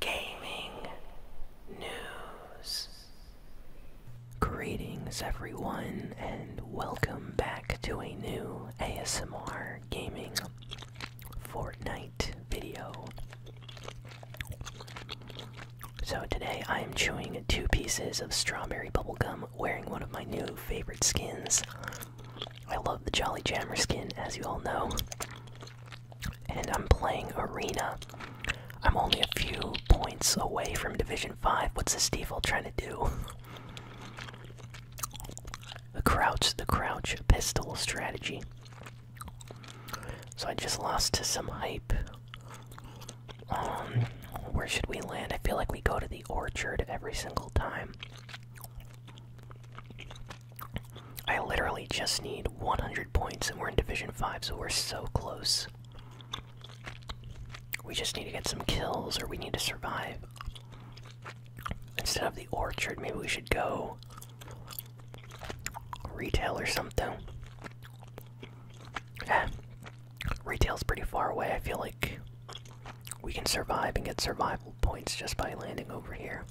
gaming news. Greetings, everyone, and welcome back to a new ASMR gaming Fortnite video. So, today I am chewing two pieces of strawberry bubblegum wearing one of my new favorite skins. I love the Jolly Jammer skin, as you all know and I'm playing Arena. I'm only a few points away from Division 5. What's this devil trying to do? The crouch, the crouch pistol strategy. So I just lost to some hype. Um, where should we land? I feel like we go to the orchard every single time. I literally just need 100 points, and we're in Division 5, so we're so close. We just need to get some kills, or we need to survive. Instead of the orchard, maybe we should go retail or something. Eh, retail's pretty far away. I feel like we can survive and get survival points just by landing over here.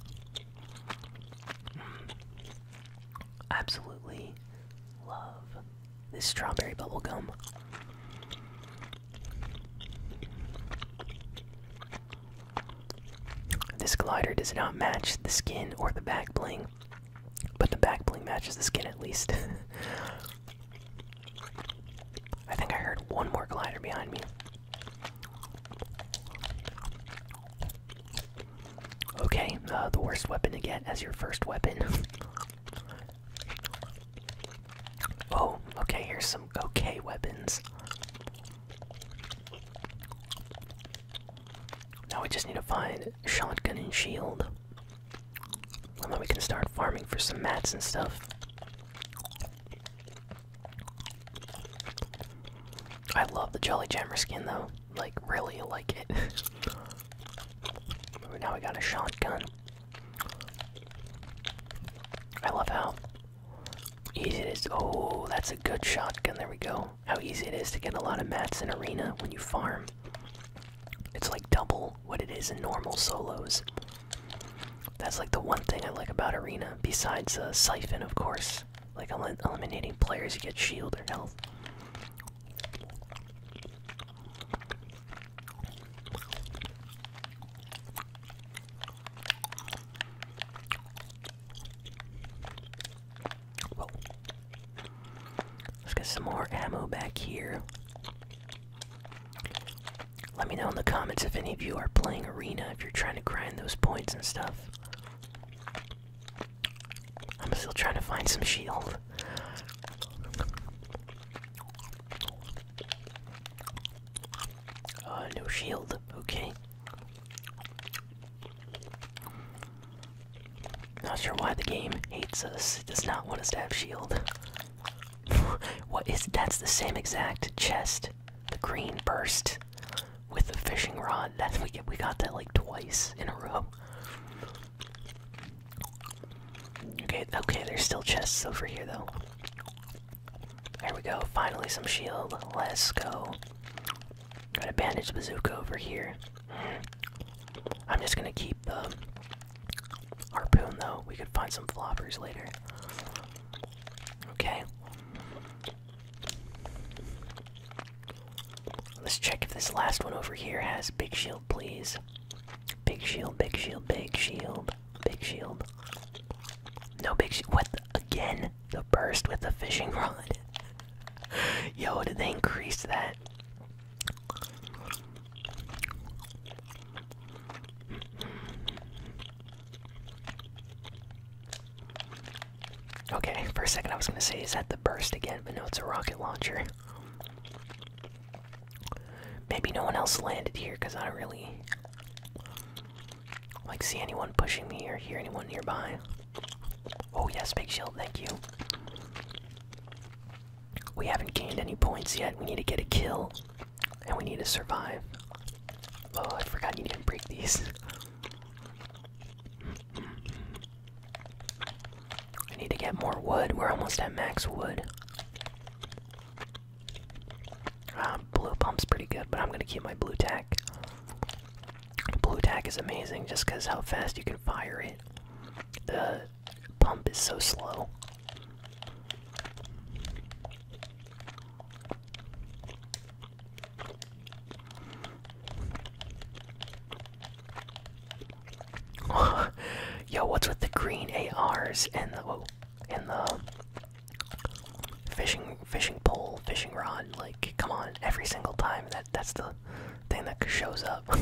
Hmm. Absolutely love this strawberry bubble gum. This glider does not match the skin or the back bling, but the back bling matches the skin at least. I think I heard one more glider behind me. Okay, uh, the worst weapon to get as your first weapon. oh, okay, here's some okay weapons. Now we just need to find shotgun and shield. And then we can start farming for some mats and stuff. I love the Jelly Jammer skin though. Like, really like it. now we got a shotgun. I love how easy it is. Oh, that's a good shotgun. There we go. How easy it is to get a lot of mats in Arena when you farm. It's like double what it is in normal solos. That's like the one thing I like about Arena, besides a uh, Siphon, of course. Like eliminating players who get shield or health. Let's get some more ammo back here. Let me know in the comments if any of you are playing Arena, if you're trying to grind those points and stuff. I'm still trying to find some shield. Uh, no shield. Okay. Not sure why the game hates us. does not want us to have shield. what is that's the same exact chest. The green burst with the fishing rod. That we get, we got that like twice in a row. Okay, okay, there's still chests over here though. There we go. Finally, some shield. Let's go. Got a bandage bazooka over here. I'm just gonna keep the um, harpoon though. We could find some floppers later. Okay. Let's check if this last one over here has big shield, please. Big shield, big shield, big shield, big shield. No big shield. What? again? The burst with the fishing rod. Yo, did they increase that? Okay, for a second I was gonna say, is that the burst again? But no, it's a rocket launcher. Maybe no one else landed here because I don't really like see anyone pushing me or hear anyone nearby. Oh yes, big shield, thank you. We haven't gained any points yet. We need to get a kill. And we need to survive. Oh, I forgot you didn't break these. I need to get more wood. We're almost at max wood. Uh, blue pump's pretty good, but I'm gonna keep my blue tack. Blue tack is amazing just because how fast you can fire it. The pump is so slow. Yo, what's with the green ARs and the oh, and the fishing fishing pole, fishing rod? Like, come on! Every single time that that's the thing that shows up.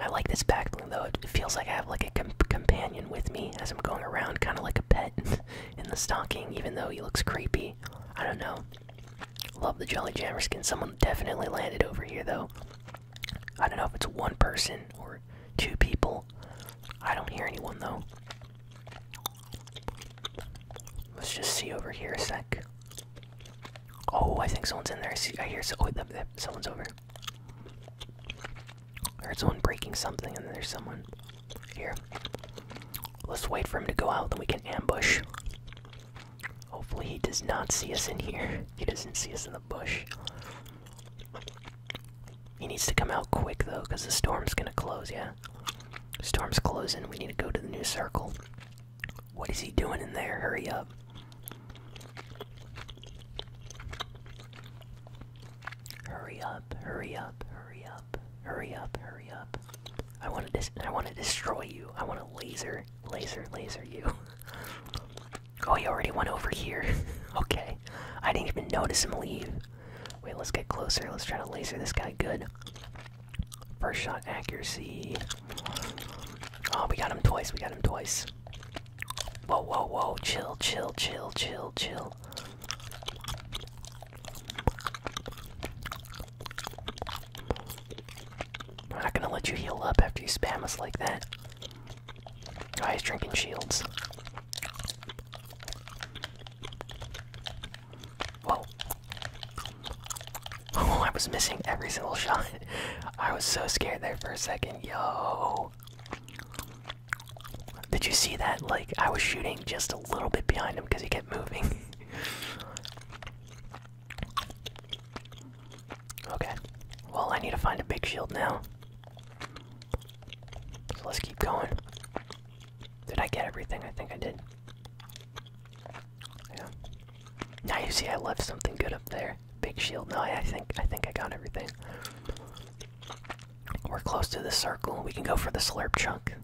I like this backpack though. It feels like I have like a companion with me as I'm going around, kind of like a pet in the stocking. Even though he looks creepy I don't know. Love the jelly Jammer skin. Someone definitely landed over here, though. I don't know if it's one person or two people. I don't hear anyone, though. Let's just see over here a sec. Oh, I think someone's in there. I, see, I hear oh, someone's over. I heard someone breaking something, and then there's someone. Here. Let's wait for him to go out, then we can ambush. Hopefully, he does not see us in here. He doesn't see us in the bush. He needs to come out quick, though, because the storm's gonna close, yeah? storm's closing. We need to go to the new circle. What is he doing in there? Hurry up. Hurry up, hurry up, hurry up, hurry up, hurry up. I want to I want to destroy you. I want to laser, laser, laser you. oh, he already went over here. okay. I didn't even notice him leave. Wait, let's get closer. Let's try to laser this guy good. First shot accuracy. Oh, we got him twice. We got him twice. Whoa, whoa, whoa. Chill, chill, chill, chill, chill. I'm not gonna let you heal up after you spam us like that. Guys, drinking shields. Whoa. Oh, I was missing every single shot. I was so scared there for a second. Yo. Did you see that? Like, I was shooting just a little bit behind him because he kept moving. okay. Well, I need to find a big shield now. So let's keep going. Did I get everything? I think I did. Yeah. Now you see I left something good up there. Big shield. No, I, think I think I got everything. We're close to the circle. We can go for the slurp chunk.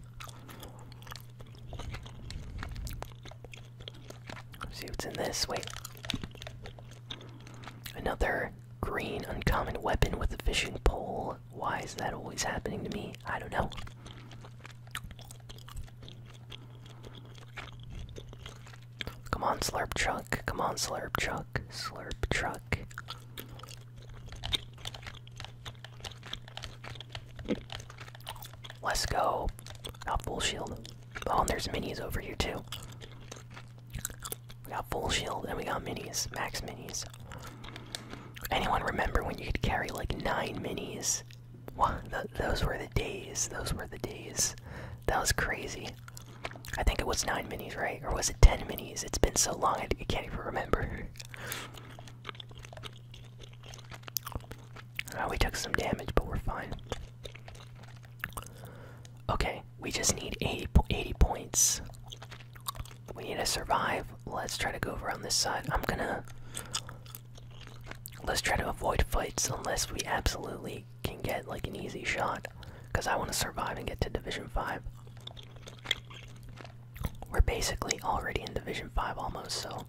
see what's in this. Wait. Another green uncommon weapon with a fishing pole. Why is that always happening to me? I don't know. Come on, slurp chunk. Come on, slurp chunk. Slurp truck. Let's go. Got full shield. Oh, and there's minis over here too. We got full shield and we got minis, max minis. Anyone remember when you could carry like nine minis? those were the days. Those were the days. That was crazy. I think it was nine minis, right? Or was it ten minis? It's been so long I can't even remember. Uh, we took some damage, but we're fine. Okay, we just need 80 points. We need to survive. Let's try to go over on this side. I'm gonna. Let's try to avoid fights unless we absolutely can get like an easy shot. Because I want to survive and get to Division 5. We're basically already in Division 5 almost, so.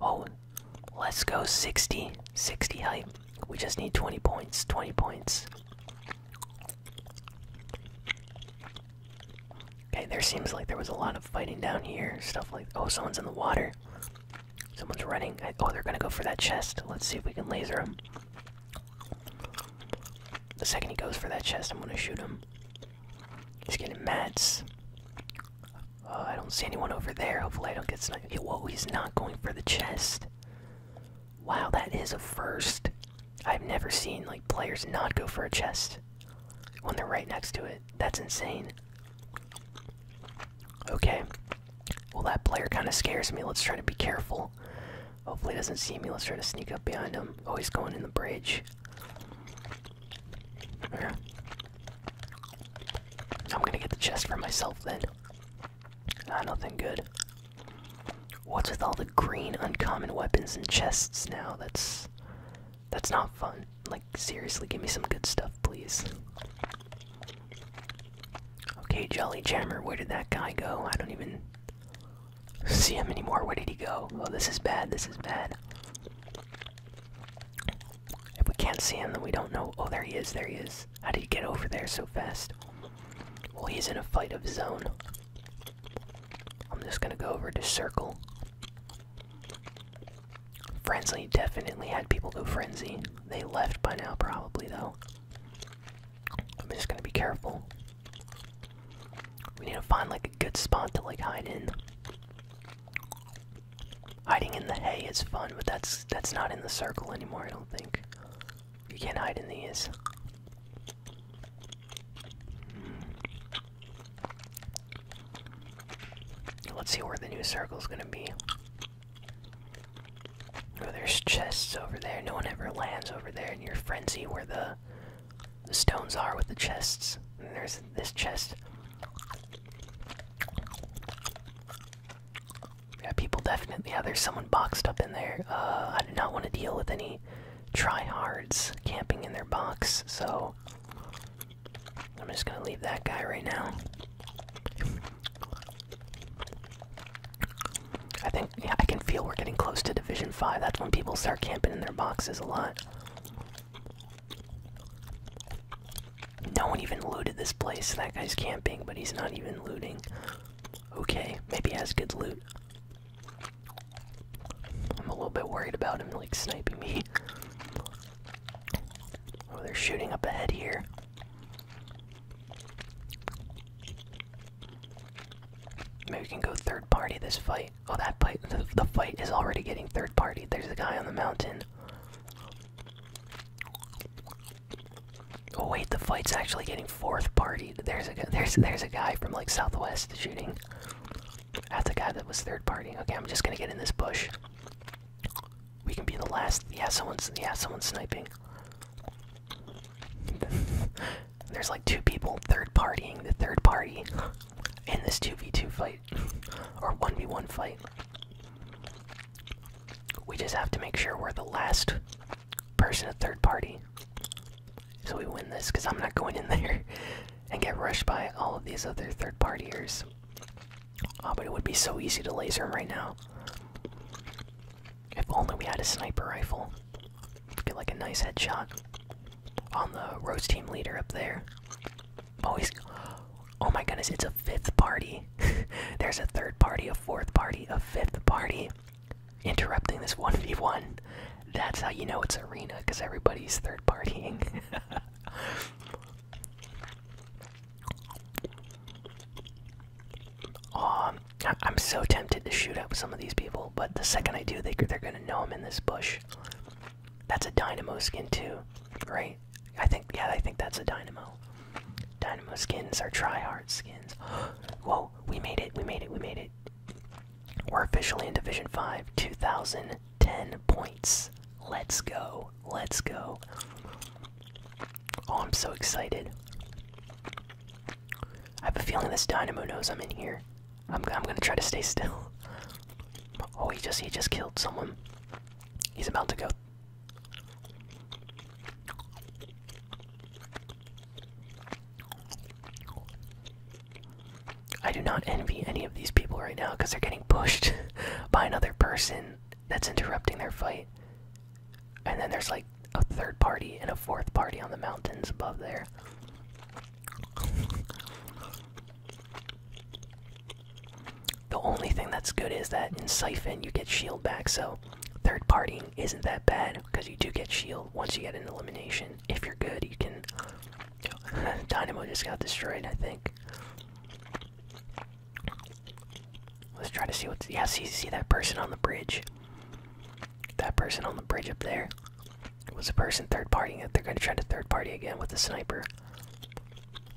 Oh, let's go 60. 60 hype. We just need 20 points. 20 points. Okay, there seems like there was a lot of fighting down here. Stuff like. Oh, someone's in the water. Someone's running. oh, they're gonna go for that chest. Let's see if we can laser him. The second he goes for that chest, I'm gonna shoot him. He's getting mats. Uh, I don't see anyone over there. Hopefully, I don't get sniped. Hey, whoa, he's not going for the chest. Wow, that is a first. I've never seen like players not go for a chest when they're right next to it. That's insane. Okay. Well, that player kind of scares me. Let's try to be careful. Hopefully, he doesn't see me. Let's try to sneak up behind him. Oh, he's going in the bridge. I'm gonna get the chest for myself then. Ah, nothing good. What's with all the green uncommon weapons and chests now? That's that's not fun. Like seriously, give me some good stuff, please. Okay, Jolly Jammer, where did that guy go? I don't even see him anymore. Where did he go? Oh, this is bad. This is bad. If we can't see him, then we don't know. Oh, there he is. There he is. How did he get over there so fast? Well, he's in a fight of his own. I'm just gonna go over to circle. Frenzy definitely had people go frenzy. They left by now, probably, though. I'm just gonna be careful. We need to find like a good spot to like hide in. Hiding in the hay is fun, but that's that's not in the circle anymore, I don't think. You can't hide in these. Hmm. Let's see where the new circle is gonna be. Oh, there's chests over there. No one ever lands over there in your frenzy where the the stones are with the chests. there's this chest. Yeah, people definitely. Yeah, there's someone boxed up in there. Uh, I do not want to deal with any tryhards camping in their box, so I'm just gonna leave that guy right now. I think yeah, I can feel we're getting close to Division Five. That's when people start camping in their boxes a lot. No one even looted this place. That guy's camping, but he's not even looting. Okay, maybe he has good loot. I'm a little bit worried about him, like, sniping me. Oh, they're shooting up ahead here. Maybe we can go third party this fight. Oh, that fight. The, fight is already getting third party. There's a guy on the mountain. Oh wait, the fight's actually getting fourth party. There's a there's there's a guy from like southwest shooting. That's a guy that was third party. Okay, I'm just gonna get in this bush. We can be the last. Yeah, someone's yeah someone's sniping. There's like two people third partying the third party in this 2v2 fight or 1v1 fight. We just have to make sure we're the last person to third party. So we win this because I'm not going in there and get rushed by all of these other third partiers. Oh, but it would be so easy to laser him right now. If only we had a sniper rifle. Get like a nice headshot on the Rose team leader up there. Oh, he's. Oh my goodness, it's a fifth party. There's a third party, a fourth party, a fifth party interrupting this 1v1. That's how you know it's arena, because everybody's third partying. oh, I'm so tempted to shoot up some of these people, but the second I do, they, they're gonna know I'm in this bush. That's a Dynamo skin too, right? I think yeah, I think that's a Dynamo. Dynamo skins are tryhard skins. Whoa, we made it, we made it, we made it. We're officially in Division 5, 2010 points. Let's go. Let's go. Oh, I'm so excited. I have a feeling this Dynamo knows I'm in here. I'm, I'm gonna try to stay still. Oh, he just he just killed someone. He's about to go. I do not envy any of these people right now because they're getting pushed by another person that's interrupting their fight. And then there's like a third party and a fourth party on the mountains above there the only thing that's good is that in Siphon you get shield back, so third party isn't that bad because you do get shield once you get an elimination. If you're good, you can. Dynamo just got destroyed, I think. Let's try to see what's. Yeah, see, see that person on the bridge. That person on the bridge up there was a person third partying it. They're going to try to third party again with the sniper.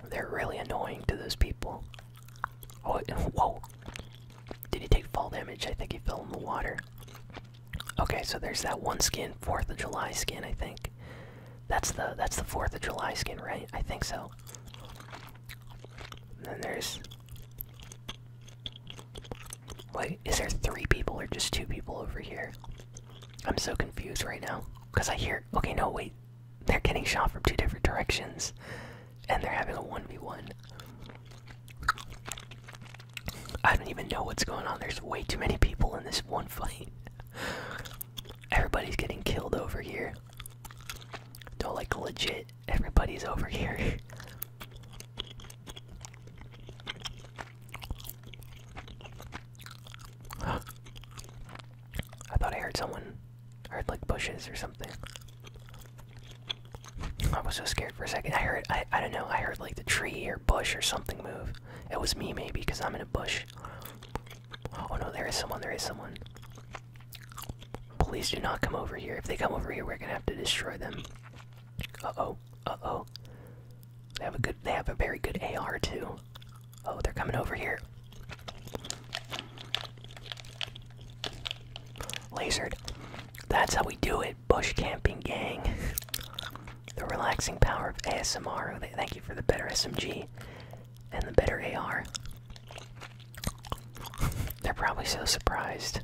They're really annoying to those people. Oh, whoa. Did he take fall damage? I think he fell in the water. Okay, so there's that one skin, 4th of July skin, I think. That's the that's the 4th of July skin, right? I think so. then there's Wait, is there three people or just two people over here? I'm so confused right now. Because I hear. Okay, no, wait. They're getting shot from two different directions. And they're having a 1v1. I don't even know what's going on. There's way too many people in this one fight. Everybody's getting killed over here. No, like legit, everybody's over here. I thought I heard someone. I heard like bushes or something. I was so scared for a second. I heard, I, I don't know, I heard like the tree or bush or something move. It was me maybe because I'm in a bush. Oh no, there is someone, there is someone. Please do not come over here. If they come over here, we're gonna have to destroy them. Uh oh, uh oh. They have a good. They have a very good AR too. Oh, they're coming over here. Lasered. That's how we do it, bush camping gang. the relaxing power of ASMR. Thank you for the better SMG and the better AR. They're probably so surprised.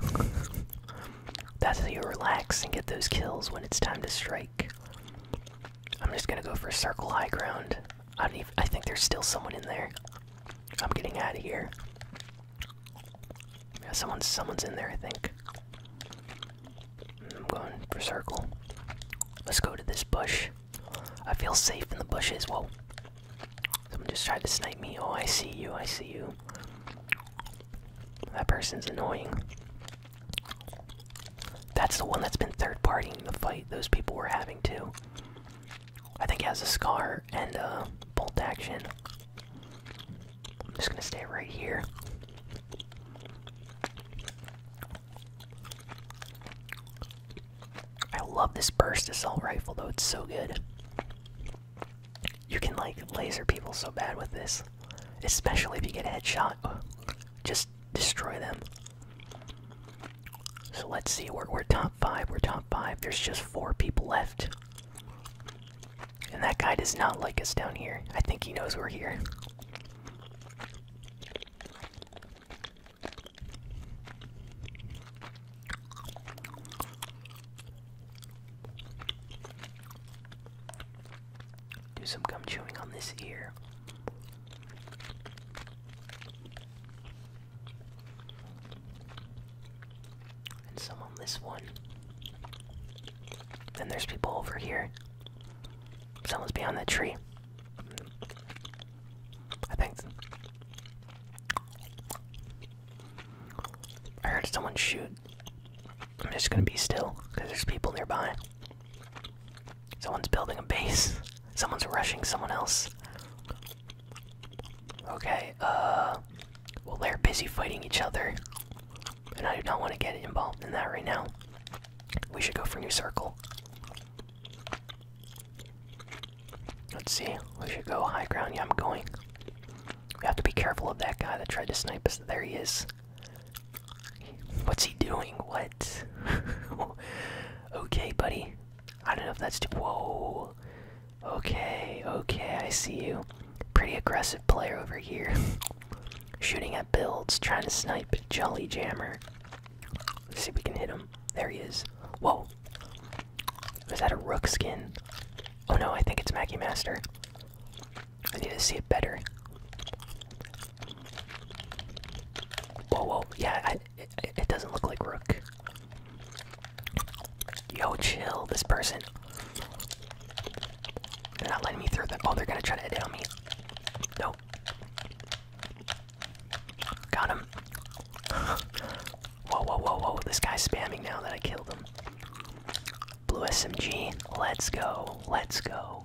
That's how you relax and get those kills when it's time to strike. I'm just gonna go for circle high ground. I don't even. I think there's still someone in there. I'm getting out of here. Yeah, someone's someone's in there. I think. Mm, I'm going for circle. Let's go to this bush. I feel safe in the bushes. Whoa. Someone just tried to snipe me. Oh, I see you. I see you. That person's annoying. That's the one that's been third party in the fight those people were having too. I think has a scar and a bolt action. I'm just gonna stay right here. I love this burst assault rifle though, it's so good. You can like laser people so bad with this, especially if you get a headshot. Just destroy them. So let's see. We're top five. We're top five. There's just four people left, and that guy does not like us down here. I think he knows we're here. Do some gum chewing on this ear. And some on this one. Then there's people over here. Someone's behind that tree. I think. I heard someone shoot. I'm just gonna be still, because there's people nearby. Someone's building a base. Someone's rushing someone else. Okay, uh, Well, they're busy fighting each other. And I do not want to get involved in that right now. We should go for new circle. Let's see. We should go high ground. Yeah, I'm going. We have to be careful of that guy that tried to snipe us. There he is. What's he doing? What? okay, buddy. I don't know if that's too. Whoa. Okay, okay, I see you. Pretty aggressive player over here. Shooting at builds, trying to snipe Jolly Jammer. Let's see if we can hit him. There he is. Whoa. Was that a rook skin? Oh no, I think it's Mackie Master. I need to see it better. Whoa, whoa, yeah, it, doesn't look like Rook. Yo, chill, this person. They're not letting me through them. Oh, they're gonna try to edit on me. Nope. Got him. whoa, whoa, whoa, whoa. This guy's spamming now that I killed him. Blue SMG. Let's go. Let's go.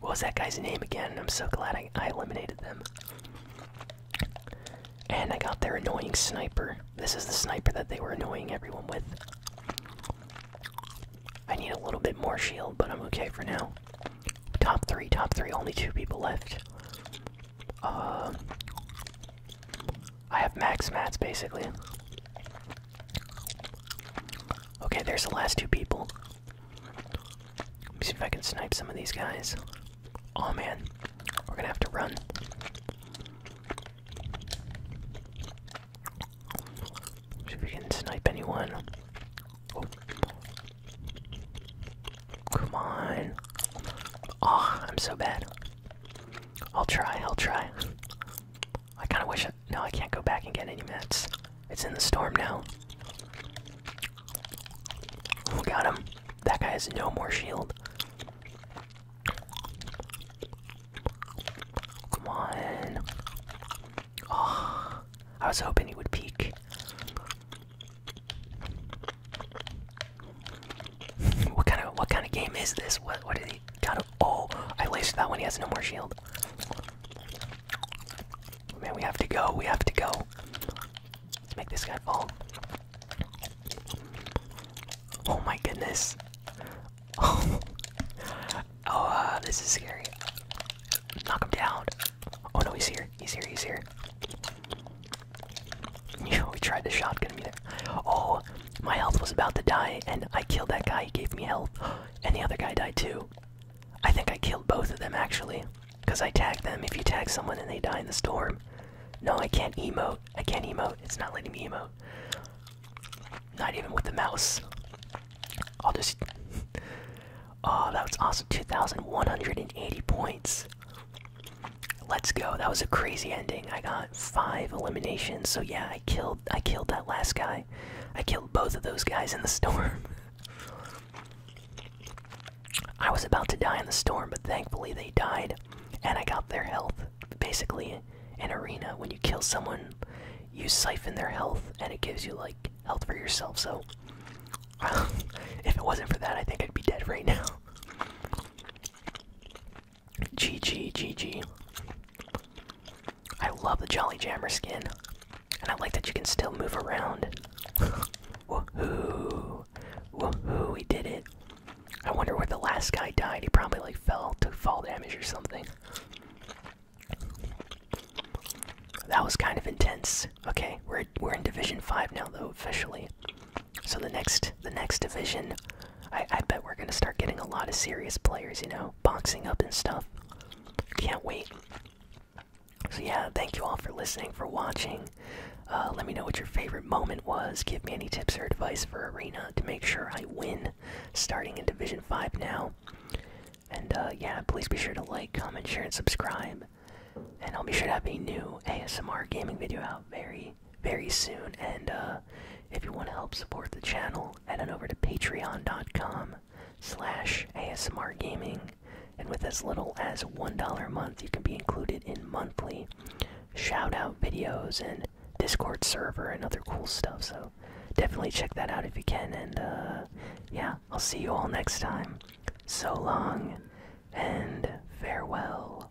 What was that guy's name again? I'm so glad I, eliminated them. And I got their annoying sniper. This is the sniper that they were annoying everyone with. I need a little bit more shield, but I'm okay for now. Top three, top three, only two people left. Uh, I have max mats basically. Okay, there's the last two people. Let me see if I can snipe some of these guys. Oh man, we're gonna have to run. See if we can snipe anyone. Oh. Come on. Oh, I'm so bad. I'll try, I'll try. I kind of wish. I, no, I can't go back and get any meds. It's in the storm now. We got him. That guy has no more shield. Come on. Ah, I was hoping he would peek. what kind of what kind of game is this? What what is already got Oh, I wasted that one. He has no more shield. Man, we have to go. We have to go. make this guy fall. Oh my goodness. Oh, uh, this is scary. Knock him down. Oh no, he's here. He's here. He's here. Yo, he tried to shotgun there. Oh, my health was about to die, and I killed that guy. He gave me health. And the other guy died too. I think I killed both of them actually. Because I tagged them. If you tag someone and they die in the storm. No, I can't emote. I can't emote. It's not letting me emote. Not even with the mouse. I'll just. oh, that was awesome. 2,180 points. Let's go. That was a crazy ending. I got five eliminations. So yeah, I killed. I killed that last guy. I killed both of those guys in the storm. I was about to die in the storm, but thankfully they died and I got their health. Basically, in arena when you kill someone, you siphon their health and it gives you like health for yourself. So if it wasn't for that, I think I'd be dead right now. GG GG. I love the Jolly Jammer skin, and I like that you can still move around. Woohoo! Woohoo! We did it. I wonder where the last guy died. He probably like fell, to fall damage or something. That was kind of intense. Okay, we're we're in Division Five now, though officially. So the next the next division, I I bet we're gonna start getting a lot of serious players. You know, boxing up and stuff. Can't wait. So, yeah, thank you all for listening, for watching. Uh, let me know what your favorite moment was. Give me any tips or advice for Arena to make sure I win starting in Division 5 now. And uh, yeah, please be sure to like, comment, share, and subscribe. And I'll be sure to have a new ASMR gaming video out very, very soon. And uh, if you want to help support the channel, head on over to patreon.com slash ASMRgaming. And with as little as $1 a month, you can be included in monthly shout-out videos and Discord server and other cool stuff. So definitely check that out if you can. And uh, yeah, I'll see you all next time. So long and farewell.